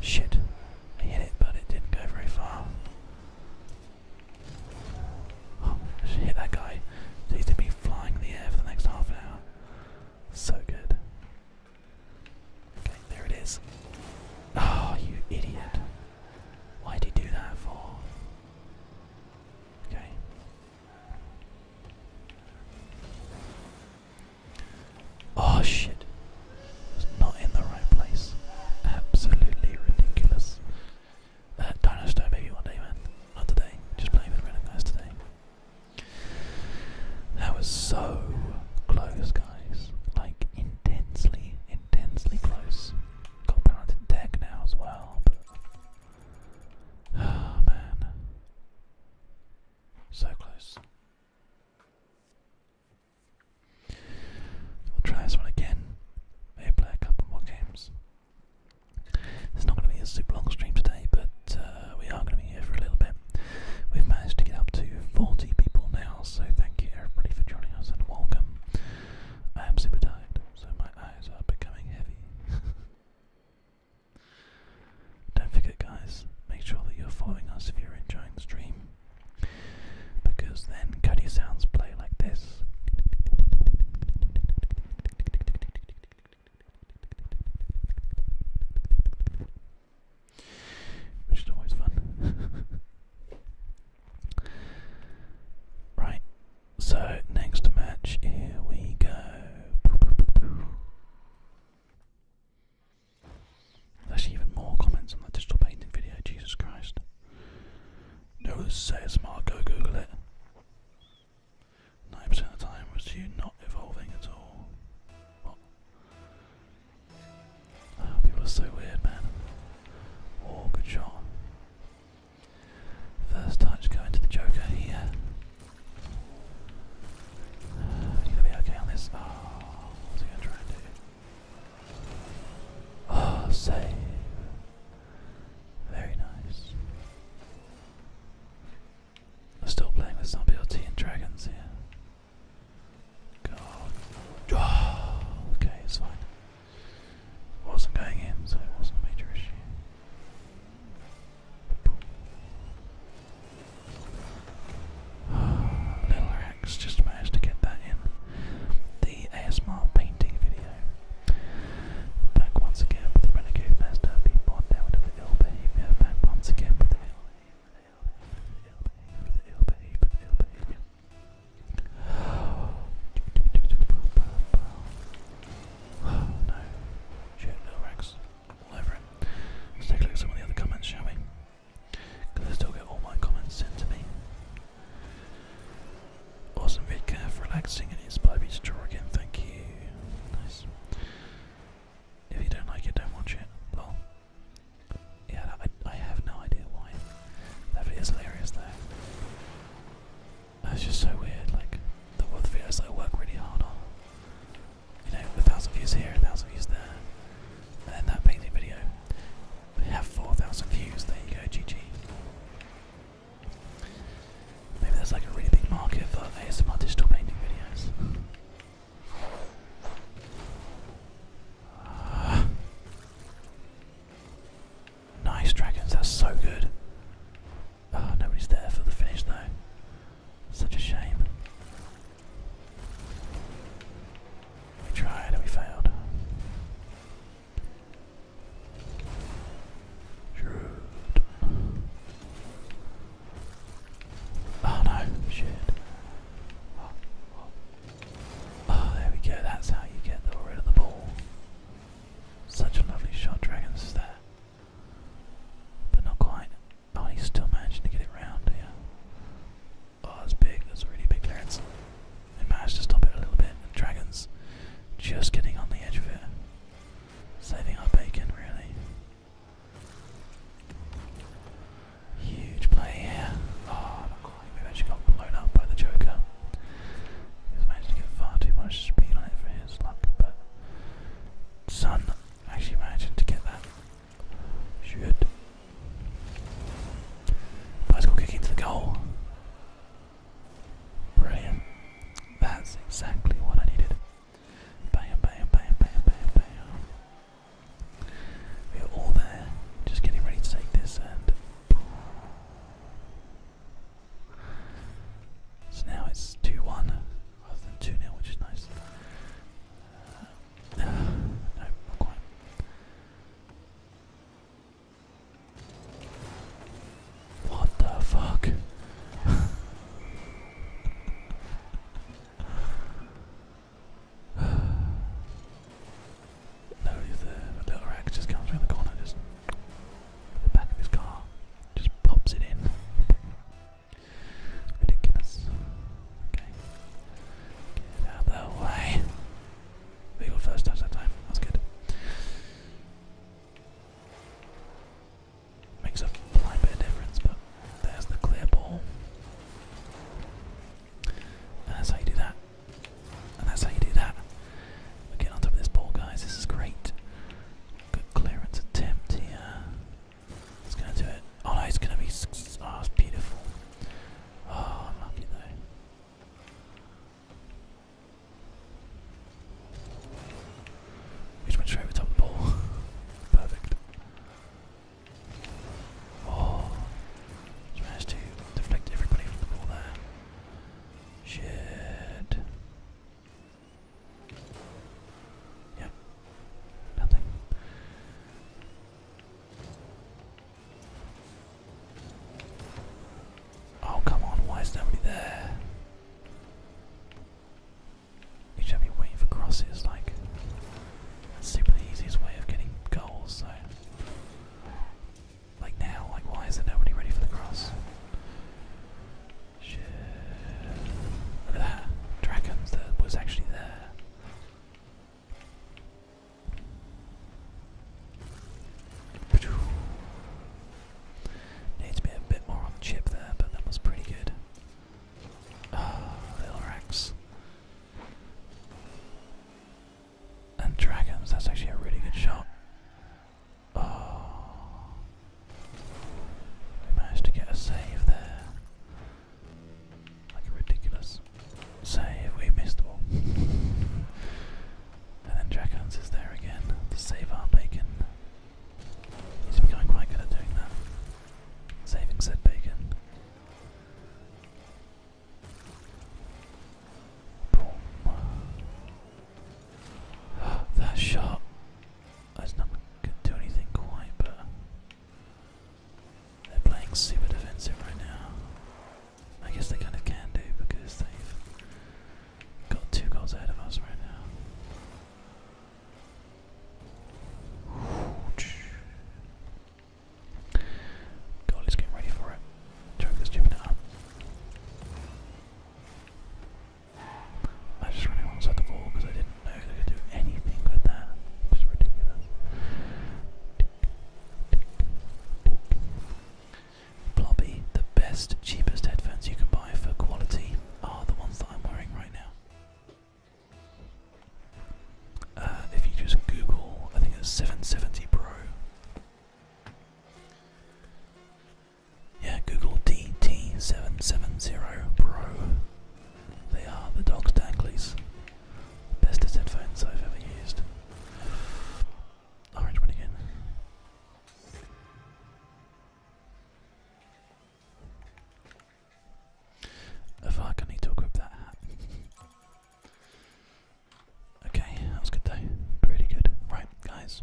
[SPEAKER 1] Shit. I hit it, but it didn't go very far. Oh, I hit that guy. he's going to be flying in the air for the next half hour. So good. Okay, there it is. Oh, you idiot. Why'd you do that for? Okay. Oh shit. not in the right place. Absolutely ridiculous. Uh, Dinosaur maybe one day, man. Not today. Just playing with guys today. That was so close, guys. Like, intensely, intensely close got balanced deck now as well, oh man. So close. We'll try this one again. Maybe play a couple more games. It's not going to be a super long stream today, but uh, we are going to be here for a little bit. We've managed to get up to 40 people now, so thank you everybody for joining us and welcome. I am super tired so my eyes are becoming heavy. Don't forget, guys, make sure that you're following us if you're enjoying the stream, because then Cody sounds play like this. Which is always fun. Right, so next match, here we go. There's even more comments on that digital painting video, Jesus Christ. No, says Mark, Google it. 9 of the time was you not evolving at all. Ah, people are so weird, man. Oh, good shot. First touch going to the Joker here. Uh, you gonna be okay on this. Oh, oh, save. Very nice. I'm still playing with some BLT and dragons here. God. Oh, okay, it's fine wasn't going in, so it wasn't a major issue. Little Rex just managed to get that in. The ASMR painting video. Back once again with the Renegade Master being born down with the ill behavior. Back once again with the ill behavior. Oh no. Rex. All Let's take a look at some of the other comments, shall we? Because I still get all my comments sent to me. Awesome video, relaxing in his baby's to again, thank you. Nice. If you don't like it, don't watch it. Yeah, I, have no idea why. That hilarious though. That's just so weird, like, the world videos that I work really hard on. You know, a thousand views here, a thousand views there, and then that painting video. We have 4,000 views, there you go, GG. Maybe there's like a really big market for ASMR digital painting videos. Ah. Nice dragons, that's so good. Oh, nobody's there for the finish though. Such a shame. We tried and we failed. Shoot. Oh no, Oh, there we go, that's how you get rid of the ball. Such a lovely shot, Dragons is there. But not quite. Oh, he's still managing to get it round here. Oh, that's big. That's a really big clearance. They managed to stop it a little bit, and Dragons just getting on the edge of it. Saving our bacon, really. Huge play here. Oh, Maybe actually got blown up by the Joker. He's managed to get far too much speed on it for his luck, but Sun actually managed to get that. Shoot. Bicycle kick into the goal. Brilliant. That's exactly what I needed. Bam, bam, bam, bam, bam, bam. We are all there, just getting ready to take this and. So now it's 2 1 rather than 2 0, which is nice. Uh, no, not quite. What the fuck? No, he's there. A little Rex just comes around the corner, just the back of his car, just pops it in. Ridiculous. Okay. Get out the way. They got first touch that time. That's good. Makes a fine bit of difference, but there's the clear ball. that's how you do that. And that's how you do that. we on top of this ball, guys. This is great. Good clearance attempt here. It's going to do it. Oh no, it's going to be. Oh, beautiful. Oh, I'm lucky though. We just went straight over the ball. Perfect. Oh, just managed deflect everybody from the ball there. Shit. Yep. Nothing. Oh, come on, why is nobody there? You should be waiting for crosses, like, super the easiest way of getting goals, so. Like now, like why is there nobody ready for the cross? Look at that. Dragons that was actually there. Needs to a bit more on chip there, but that was pretty good. little ah, racks and dragons. That's actually a really good shot. Oh. we managed to get a save there. Like a ridiculous save. We missed the ball. and then dragons is there again to save our bacon. He's becoming quite good at doing that. Saving said bacon. that shot. That's not going to do anything quite, but they're playing super defensive right now. I guess they kind of can do because they've got two goals ahead of us right now. Goal is getting ready for it. Choke this up. I just running alongside the ball because I didn't know they could do anything with that. Just ridiculous. Blobby, the best, cheapest headphones you can buy for quality are the ones that I'm wearing right now. Uh, if you just Google, I think it's 770 Pro, yeah, Google DT770 Pro. They are the dog's danglies. Bestest headphones I've ever used. Orange one again. If I can need to that hat. Okay, that was good though. Pretty good. Right, guys.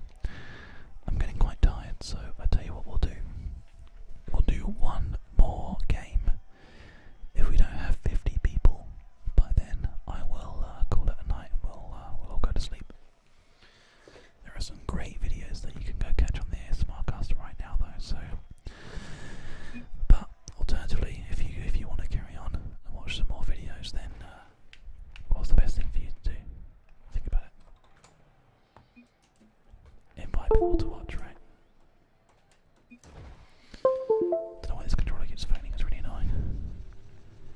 [SPEAKER 1] I'm getting quite tired, so I tell you what we'll do. We'll do one more game. If we don't have 50 people by then, I will uh, call it a night and we'll, uh, we'll all go to sleep. There are some great videos that you can go catch on the ASMRcast right now, though. So, but alternatively, if you if you want to carry on and watch some more videos, then uh, what's the best thing for you to do? Think about it. Invite people to watch, right? Don't know why this controller keeps phoning, it's really annoying.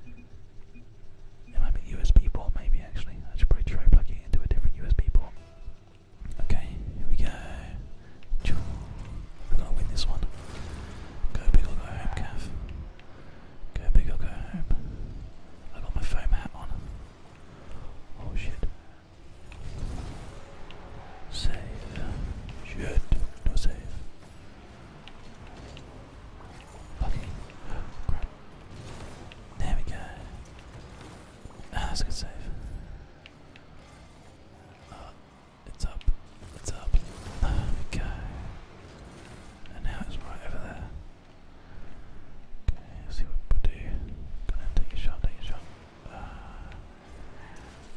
[SPEAKER 1] It USB port, maybe actually. I should probably try plugging it into a different USB port. Okay, here we go. We're gonna win this one. Go big go home, Go big or go home. I got my foam hat on. Oh shit. Save. Shit. No save. Lucky. Crap. There we go. Ah, that's a good save. Uh, it's up. It's up. There we go. And now it's right over there. Okay, see what we do. Go ahead, take a shot, take a shot. Uh,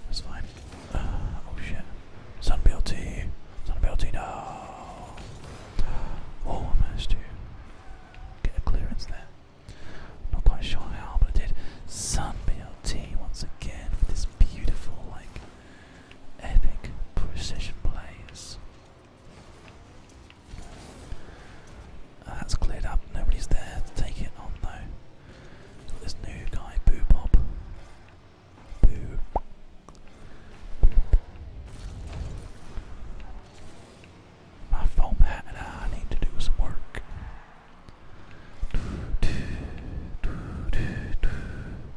[SPEAKER 1] that's fine. Uh, oh shit. Sunbilty! Sunbilty, no! Oh, I managed to get a clearance there. Not quite sure how, but I did. Sunbilty once again with this beautiful, like, epic precision plays. that's cleared up, nobody's there take it on though. this new guy, Boo Bob. Boo. My foam hat and I need to do some work.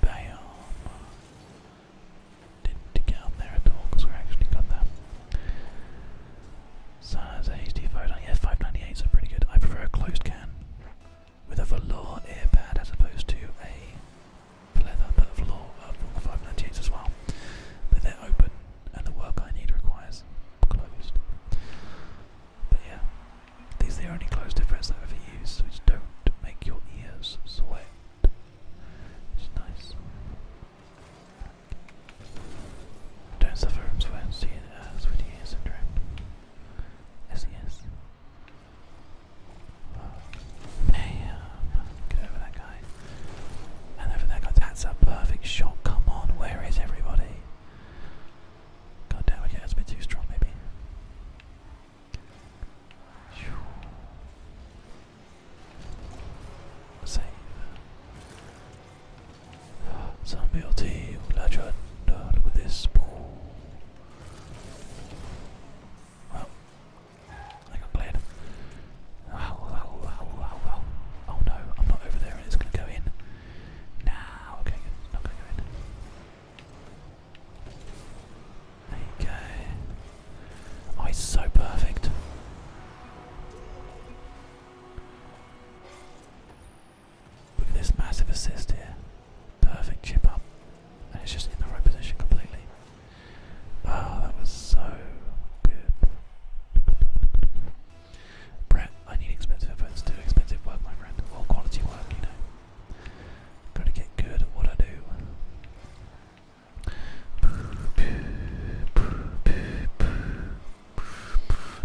[SPEAKER 1] Bam. Didn't dig there at all because we actually got that. So HD 598. Yeah, 598 is pretty good. I prefer a closed can with a velour ear pad as opposed to a leather, but velour uh, 598 as well. But they're open and the work I need requires closed. But yeah, these are the only closed effects I've ever used, which don't make your ears sweat, which nice. Don't suffer from sweat, see uh, sweaty ear syndrome. SES. Hey, um, get over that guy. And over that guy. That's a perfect shot. Come on, where is everybody? God damn, okay, that's a bit too strong, maybe. Save. Zombie team, legend. Uh, look at this. Well, I got played. Ow, ow, ow, ow, ow. Oh no, I'm not over there and it's going to go in. Nah, okay, not going to go in. There you go. Oh, it's so perfect. Look at this massive assist here. Perfect chip up. And it's just in the right position completely. Oh, that was so good. Brett, I need expensive headphones, do expensive work, my friend. Well, quality work, you know. Gotta get good at what I do.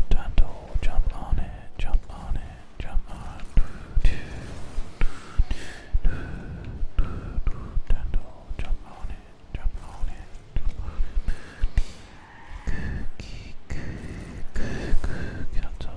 [SPEAKER 1] Time to jump on it, jump on it, jump on it. Time to jump on it, jump on it, jump on it. Cookie, cookie, cookie,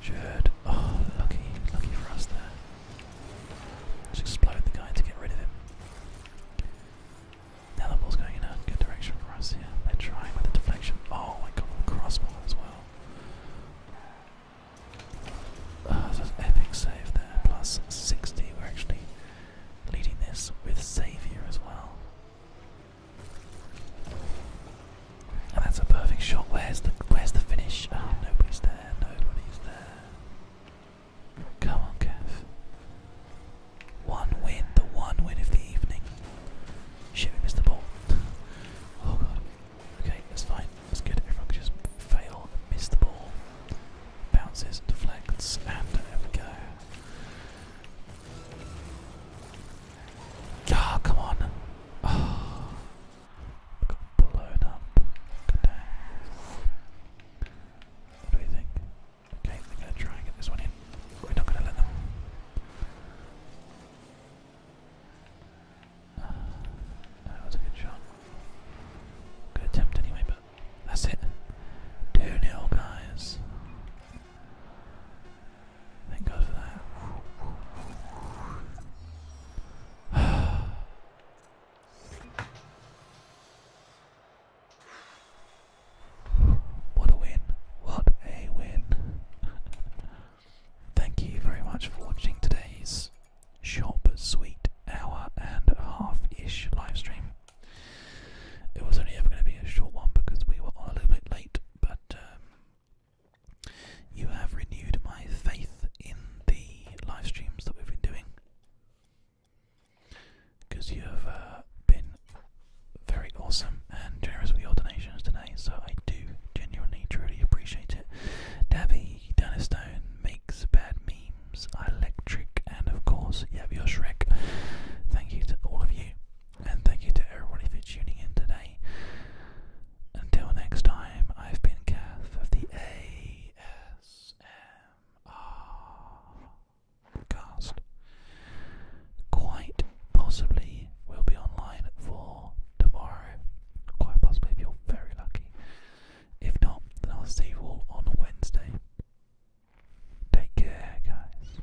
[SPEAKER 1] Should. Oh, lucky, lucky for us there. Let's explode the guy to get rid of him. Now the ball's going in a good direction for us here. They're trying with the deflection. Oh, I got crossbar as well. Oh, that's an epic save there. Plus 60. We're actually leading this with Xavier as well. And that's a perfect shot. Where's the where's the finish? Ah, nobody's there. Nobody's there. Come on, Kev. One win, the one win of the evening. Shit, we missed the ball. oh god. Okay, that's fine. That's good. Everyone can just fail miss the ball. Bounces, deflects, and there we go. Ah, come on. Oh. Got blown What do we think? Okay, they're going to try and get this one in. We're not going to let them. that was a good shot. Good attempt anyway, but that's it. 2 0, guys. Thank what a win. What a win. Thank you very much for watching today's shop but sweet hour and a half ish live stream. It was only ever going to be a short one because we were on a little bit late, but um, you have renewed my faith in the live streams that we've been doing because you have uh, been very awesome and generous with your donations today, so I do genuinely, truly appreciate it. Dabby, Dunnerstone, Makes Bad Memes, Electric, and of course, yeah, your Shrek. Thank you to all of you, and thank you to everyone for tuning in today. Until next time, I've been Kath of the ASMR cast. Quite possibly will be online for tomorrow. Quite possibly if you're very lucky. If not, then I'll see you all on Wednesday. Take care, guys.